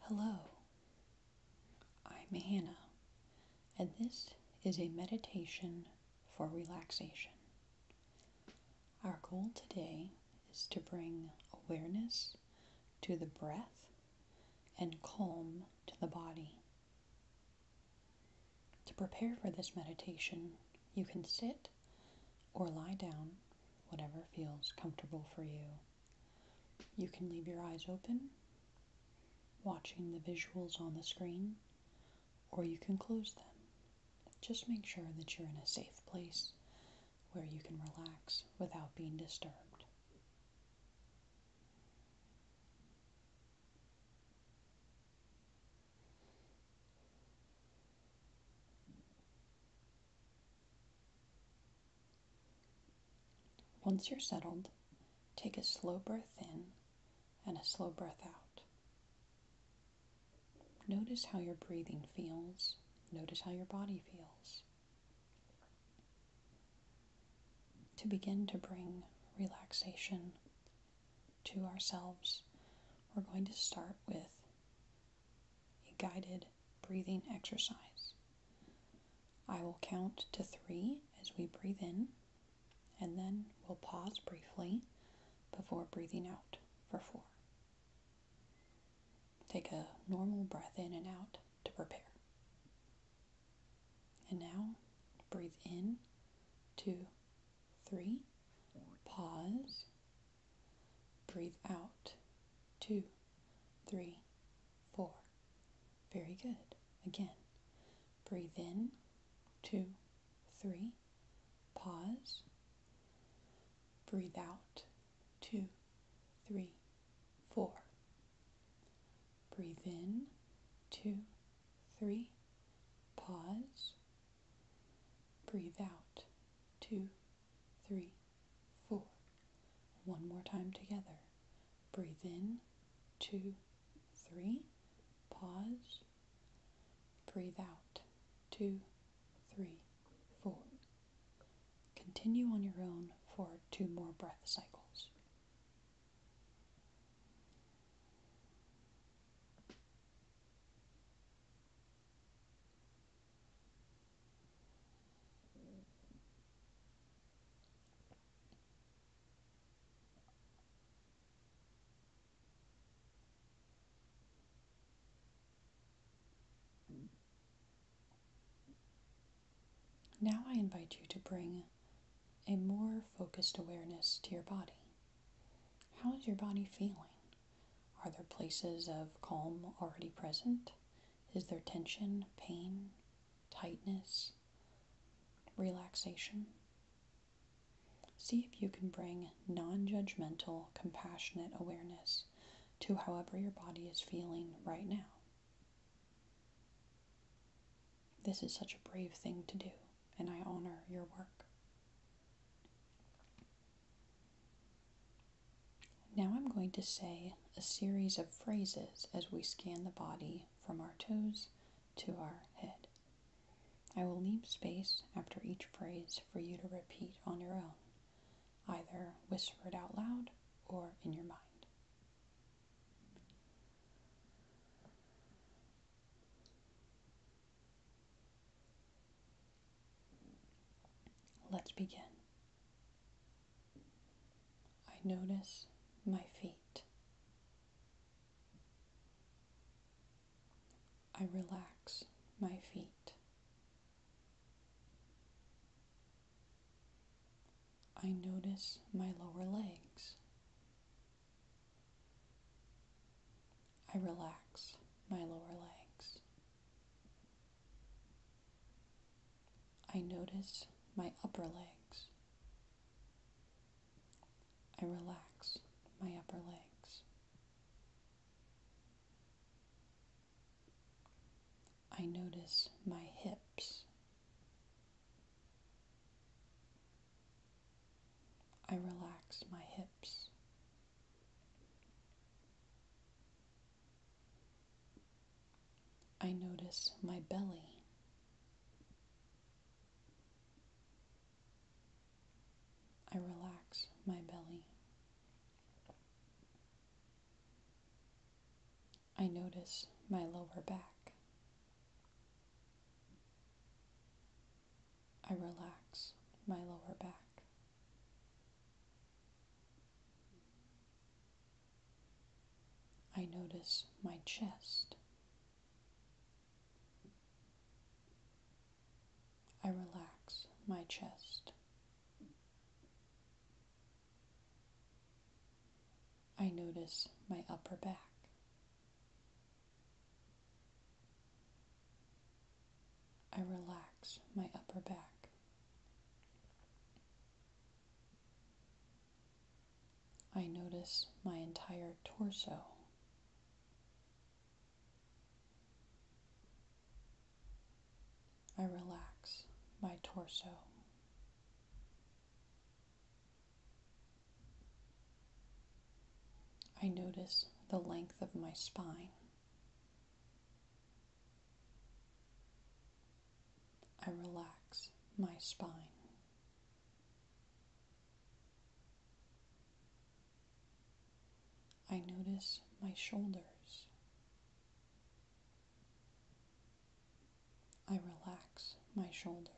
Hello, I'm Hannah, and this is a meditation for relaxation. Our goal today is to bring awareness to the breath and calm to the body. To prepare for this meditation, you can sit or lie down whatever feels comfortable for you. You can leave your eyes open, watching the visuals on the screen, or you can close them. Just make sure that you're in a safe place where you can relax without being disturbed. Once you're settled, take a slow breath in and a slow breath out. Notice how your breathing feels. Notice how your body feels. To begin to bring relaxation to ourselves, we're going to start with a guided breathing exercise. I will count to three as we breathe in, and then we'll pause briefly before breathing out for four. Take a normal breath in and out to prepare. And now breathe in, two, three, pause, Breathe out. Two, three, four. Very good. Again. Breathe in. Two, three. Pause. Breathe out. Two, three, four. Breathe in. Two, three. Pause. Breathe out. Two, three, four. One more time together. Breathe in, two, three. Pause. Breathe out, two, three, four. Continue on your own for two more breath cycles. Now I invite you to bring a more focused awareness to your body. How is your body feeling? Are there places of calm already present? Is there tension, pain, tightness, relaxation? See if you can bring non judgmental, compassionate awareness to however your body is feeling right now. This is such a brave thing to do, and I honor your work. Now I'm going to say a series of phrases as we scan the body from our toes to our head. I will leave space after each phrase for you to repeat on your own, either whisper it out loud or in your mind. Let's begin. I notice my feet. I relax my feet. I notice my lower legs. I relax my lower legs. I notice my upper legs. I relax my upper legs. I notice my hips. I relax my hips. I notice my belly. I relax my belly. I notice my lower back. I relax my lower back. I notice my chest. I relax my chest. I notice my upper back. I relax my upper back. I notice my entire torso. I relax my torso. I notice the length of my spine. I relax my spine. I notice my shoulders. I relax my shoulders.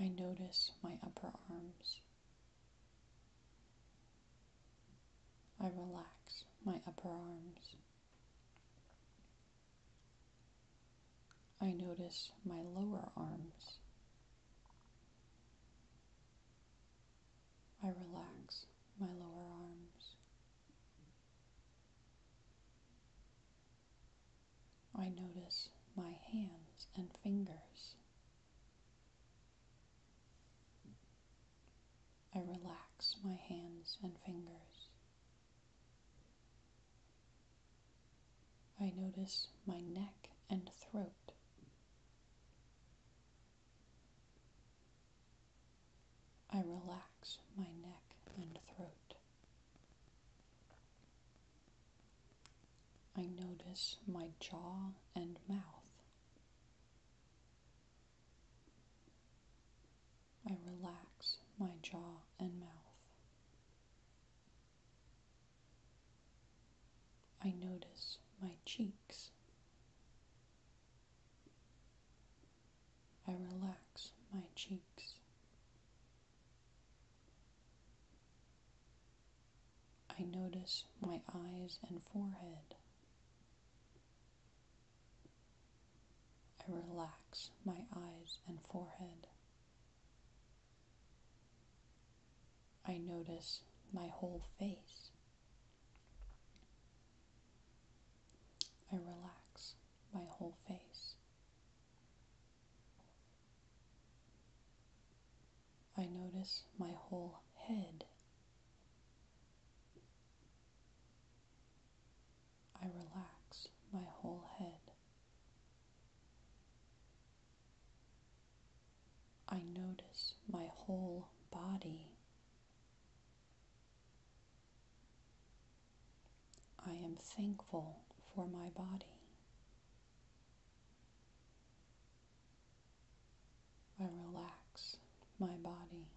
I notice my upper arms. I relax my upper arms. I notice my lower arms. I relax my lower arms. I notice my hands and fingers. I relax my hands and fingers. I notice my neck and throat. I relax my neck and throat. I notice my jaw and mouth. I relax my jaw and mouth. I notice my cheeks. I relax my cheeks. I notice my eyes and forehead. I relax my eyes and forehead. I notice my whole face. I relax my whole face. I notice my whole head. I relax my whole head. I notice my whole body. I am thankful for my body. I relax my body.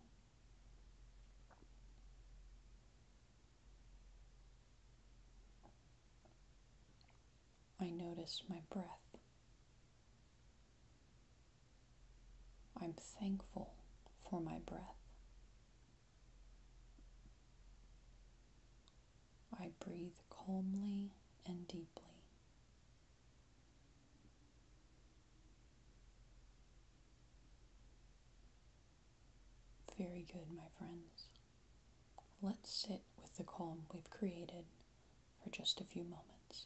I notice my breath. I'm thankful for my breath. I breathe calmly and deeply. Very good, my friends. Let's sit with the calm we've created for just a few moments.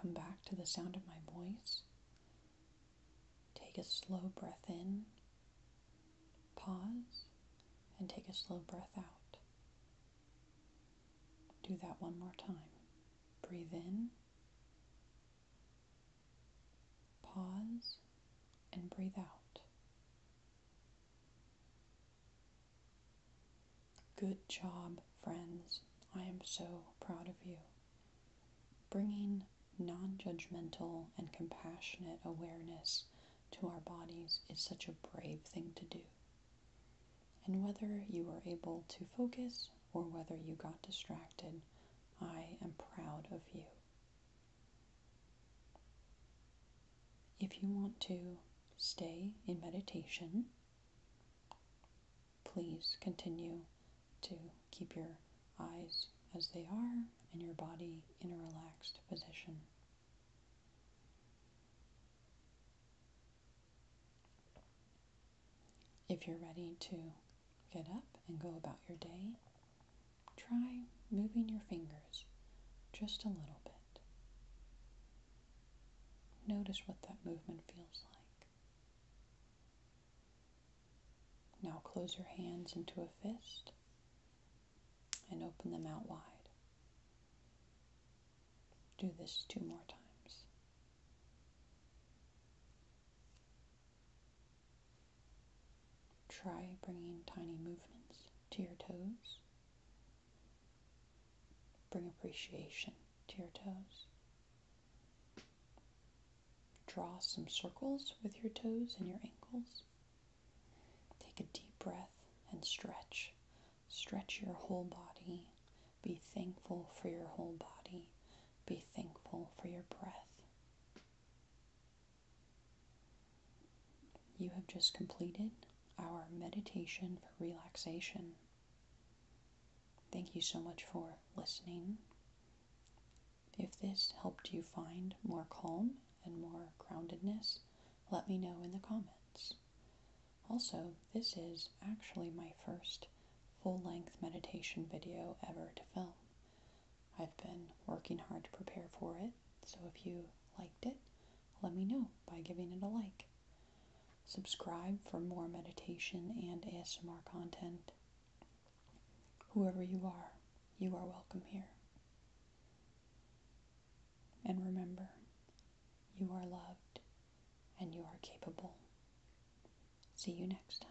Come back to the sound of my voice. Take a slow breath in, pause, and take a slow breath out. Do that one more time. Breathe in, pause, and breathe out. Good job, friends. I am so proud of you. Bringing non judgmental and compassionate awareness to our bodies is such a brave thing to do. And whether you were able to focus or whether you got distracted, I am proud of you. If you want to stay in meditation, please continue to keep your eyes as they are and your body in a relaxed position. If you're ready to get up and go about your day, try moving your fingers just a little bit. Notice what that movement feels like. Now close your hands into a fist and open them out wide. Do this two more times. Try bringing tiny movements to your toes Bring appreciation to your toes. Draw some circles with your toes and your ankles. Take a deep breath and stretch. Stretch your whole body. Be thankful for your whole body. Be thankful for your breath. You have just completed our meditation for relaxation. Thank you so much for listening. If this helped you find more calm and more groundedness, let me know in the comments. Also, this is actually my first full length meditation video ever to film. I've been working hard to prepare for it, so if you liked it, let me know by giving it a like. Subscribe for more meditation and ASMR content. Whoever you are, you are welcome here. And remember, you are loved and you are capable. See you next time.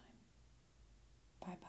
Bye bye.